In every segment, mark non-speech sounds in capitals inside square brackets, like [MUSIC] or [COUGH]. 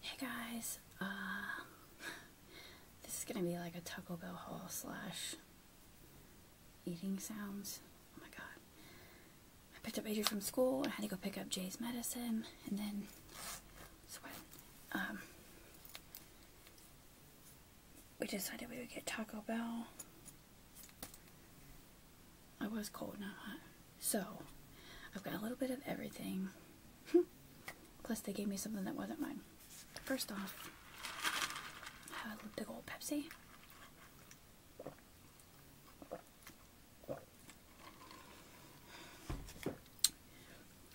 Hey guys, uh, [LAUGHS] this is gonna be like a Taco Bell haul slash eating sounds. Oh my god. I picked up Adrian from school, I had to go pick up Jay's medicine, and then, sweat. Um, we decided we would get Taco Bell. I was cold, not hot. So, I've got a little bit of everything. [LAUGHS] Plus, they gave me something that wasn't mine. First off, a big old Pepsi.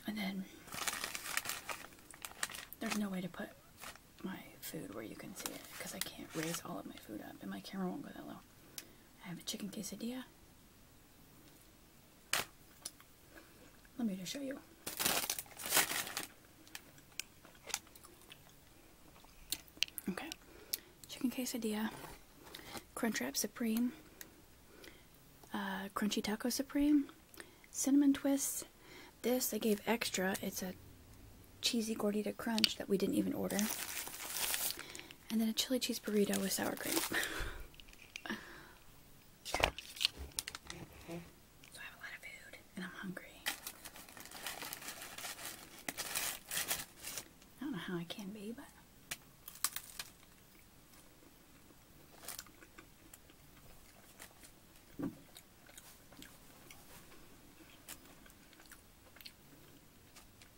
And then, there's no way to put my food where you can see it because I can't raise all of my food up and my camera won't go that low. I have a chicken quesadilla let me just show you. Okay, chicken quesadilla, Crunchwrap Supreme, uh, Crunchy Taco Supreme, Cinnamon Twists. This I gave extra. It's a cheesy gordita crunch that we didn't even order and then a chili cheese burrito with sour cream. [LAUGHS] I don't know how I can be, but.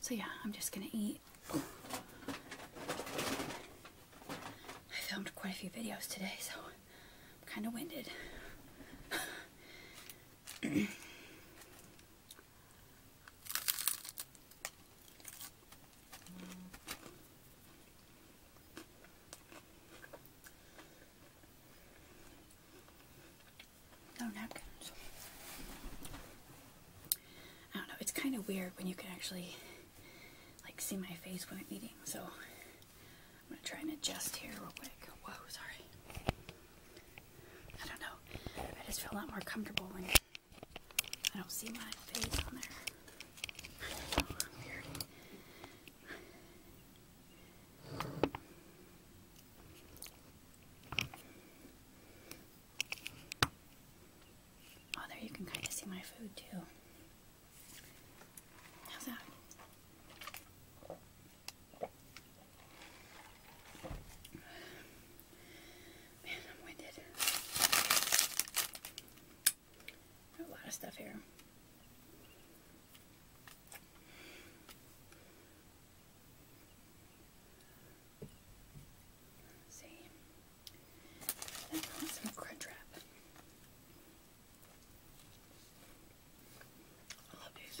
so yeah, I'm just gonna eat. I filmed quite a few videos today, so I'm kind of winded. [CLEARS THROAT] no napkins. I don't know, it's kind of weird when you can actually like see my face when I'm eating, so I'm gonna try and adjust here real quick. Whoa, sorry. I don't know. I just feel a lot more comfortable when I don't see my face on there. weird. Oh, there you can kind of see my food too. How's that? Man, I'm winded. a lot of stuff here. let and some crunch wrap. I love these.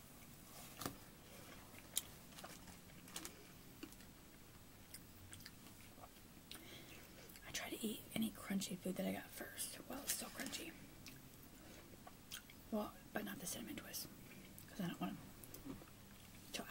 I try to eat any crunchy food that I got first while it's still crunchy. Well, but not the cinnamon twist because I don't want to until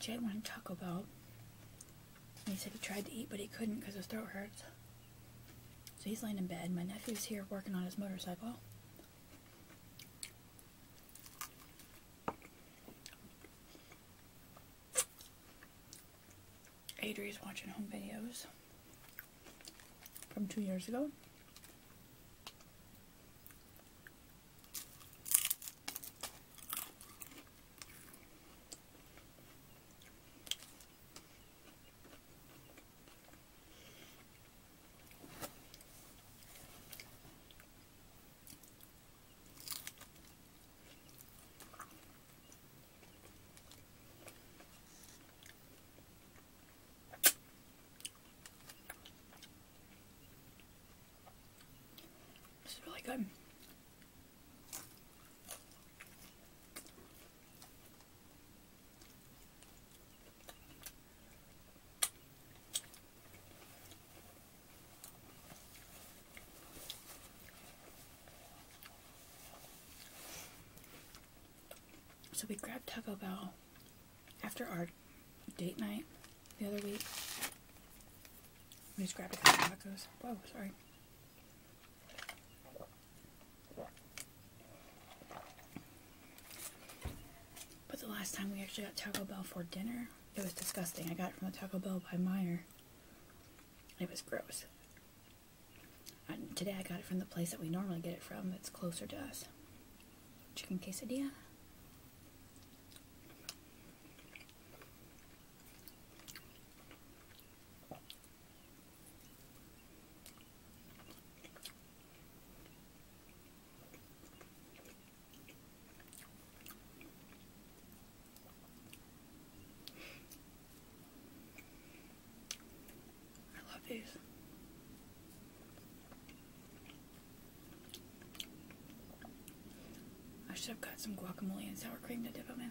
Jay wanted Taco Bell. And he said he tried to eat, but he couldn't because his throat hurts. So he's laying in bed. My nephew's here working on his motorcycle. Adri is watching home videos from two years ago. This is really good. So we grabbed Taco Bell after our date night the other week. We just grabbed a couple tacos. Whoa, sorry. But the last time we actually got Taco Bell for dinner, it was disgusting. I got it from the Taco Bell by Meyer. It was gross. today I got it from the place that we normally get it from that's closer to us. Chicken quesadilla. I love these. I should have got some guacamole and sour cream to dip them in.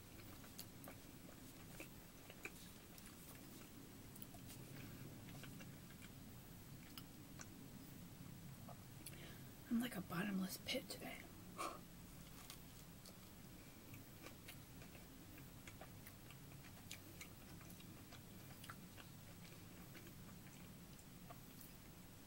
I'm like a bottomless pit today.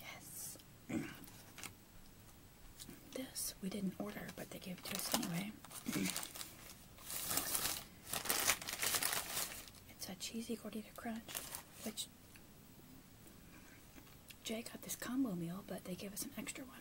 Yes. this we didn't order, but they gave it to us anyway. it's a cheesy gordita crunch, which Jay got this combo meal, but they gave us an extra one.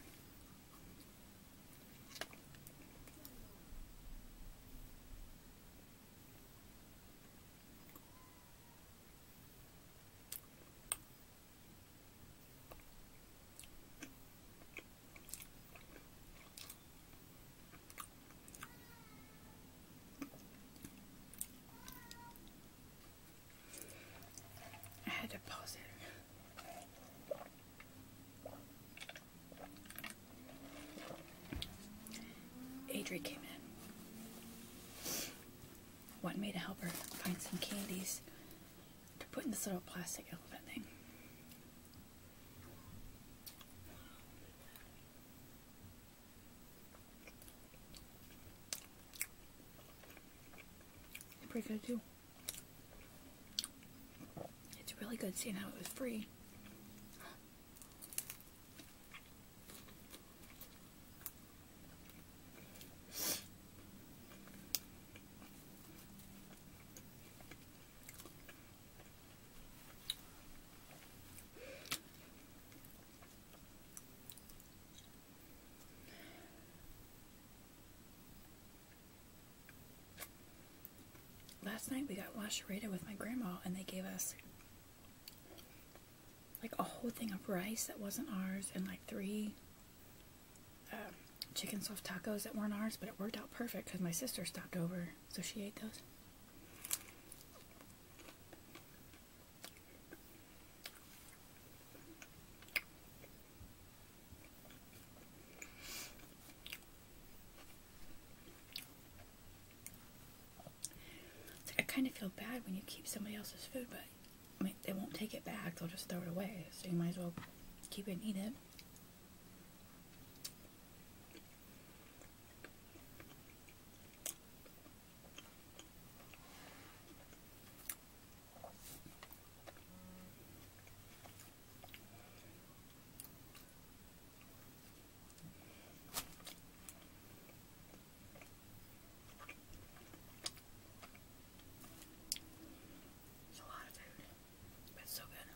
I had to pause it. Adri came in. Wanted me to help her find some candies to put in this little plastic elephant thing. Pretty good too. It's really good seeing how it was free. Last night we got washerita with my grandma, and they gave us like a whole thing of rice that wasn't ours, and like three um, chicken soft tacos that weren't ours, but it worked out perfect because my sister stopped over, so she ate those. I kind of feel bad when you keep somebody else's food, but I mean, they won't take it back. They'll just throw it away. So you might as well keep it and eat it. It's a lot of food, but it's so good.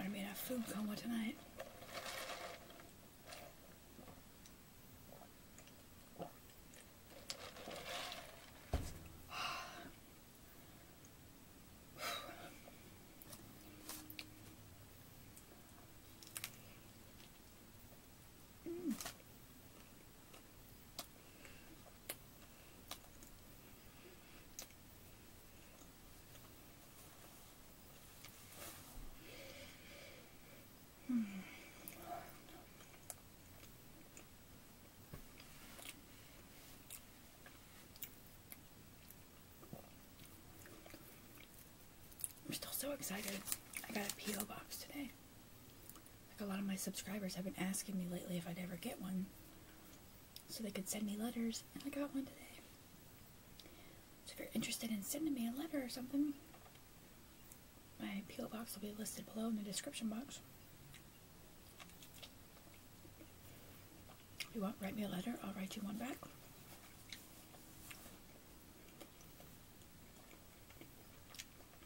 I'm gonna be in a food coma tonight. I'm still so excited. I got a P.O. box today. Like a lot of my subscribers have been asking me lately if I'd ever get one so they could send me letters, and I got one today. So if you're interested in sending me a letter or something, my P.O. box will be listed below in the description box. If you want, write me a letter, I'll write you one back.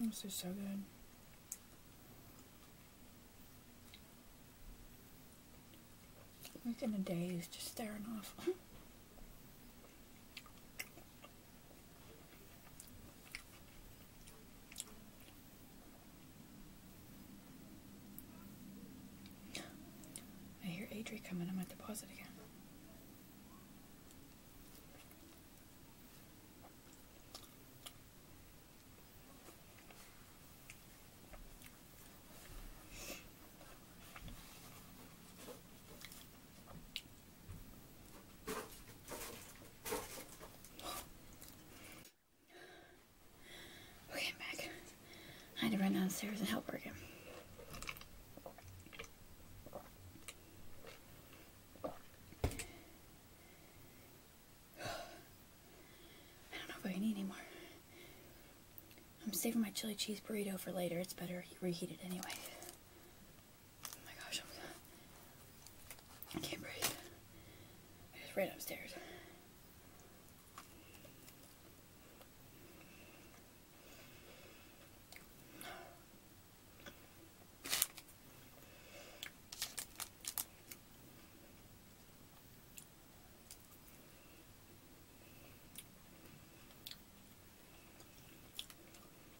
This is so good. Week in a day is just staring off. [LAUGHS] I hear Adri coming. I'm at the pause again. Okay, I'm back. I had to run downstairs and help her again. I'm saving my chili cheese burrito for later. It's better reheated anyway. Oh my gosh, I can't breathe. I just ran upstairs.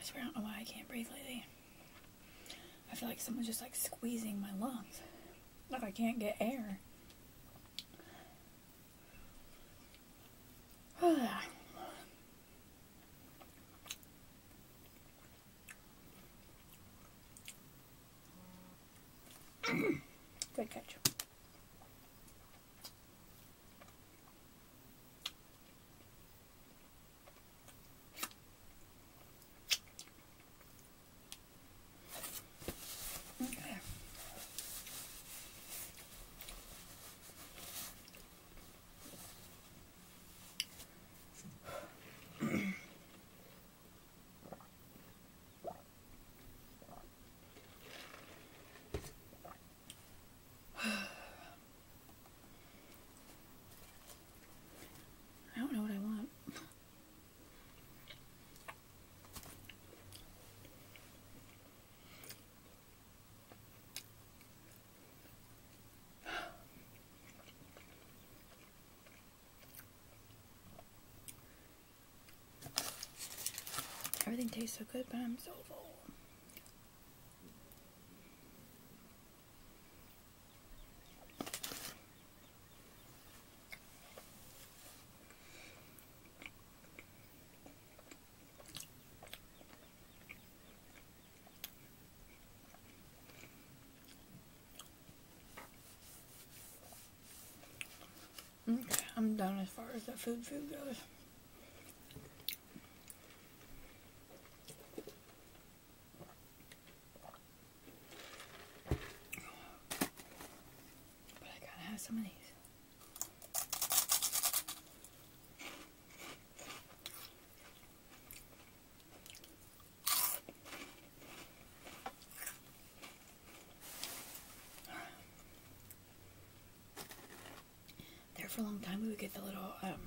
I swear I don't know why I can't breathe lately. I feel like someone's just like squeezing my lungs. Like I can't get air. Great catch. Okay. [SIGHS] I don't know what I want. Everything tastes so good, but I'm so full. Okay, I'm done as far as the food food goes. There for a long time we would get the little um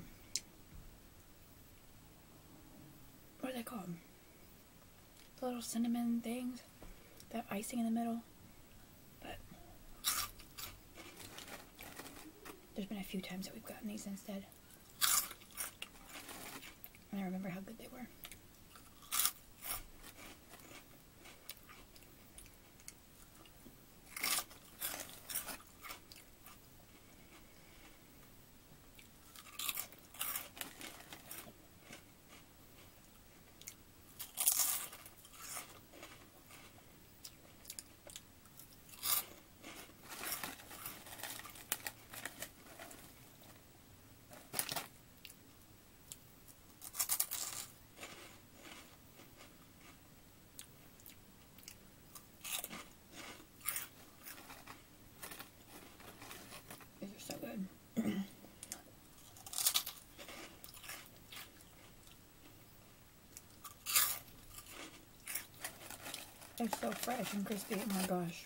what are they called? little cinnamon things, that icing in the middle. But there's been a few times that we've gotten these instead. And I remember how good they were. These are so good. They're so fresh and crispy, oh my gosh.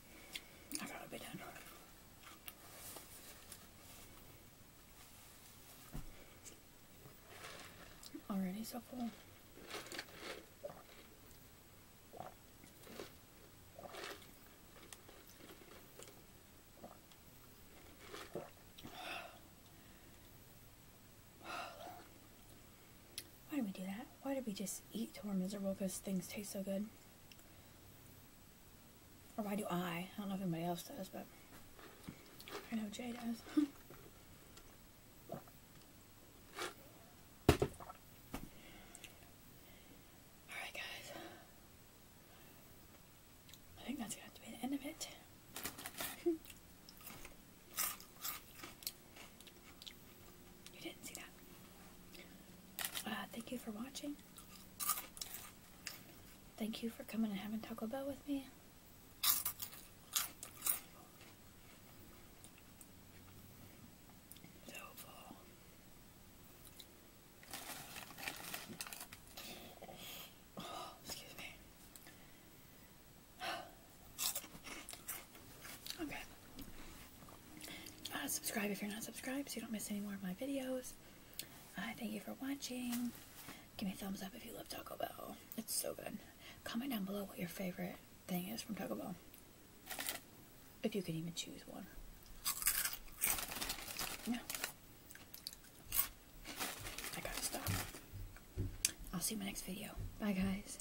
I gotta be done. Already so full. Why do we do that? Why do we just eat till we're miserable because things taste so good? Or why do I? I don't know if anybody else does, but I know Jay does. [LAUGHS] [LAUGHS] You didn't see that. Uh, thank you for watching. Thank you for coming and having Taco Bell with me. Oh, excuse me. Okay. Uh, subscribe if you're not subscribed so you don't miss any more of my videos. Uh, thank you for watching. Give me a thumbs up if you love Taco Bell. It's so good. Comment down below what your favorite thing is from Taco Bell. If you could even choose one. Yeah. I gotta stop. I'll see you in my next video. Bye guys.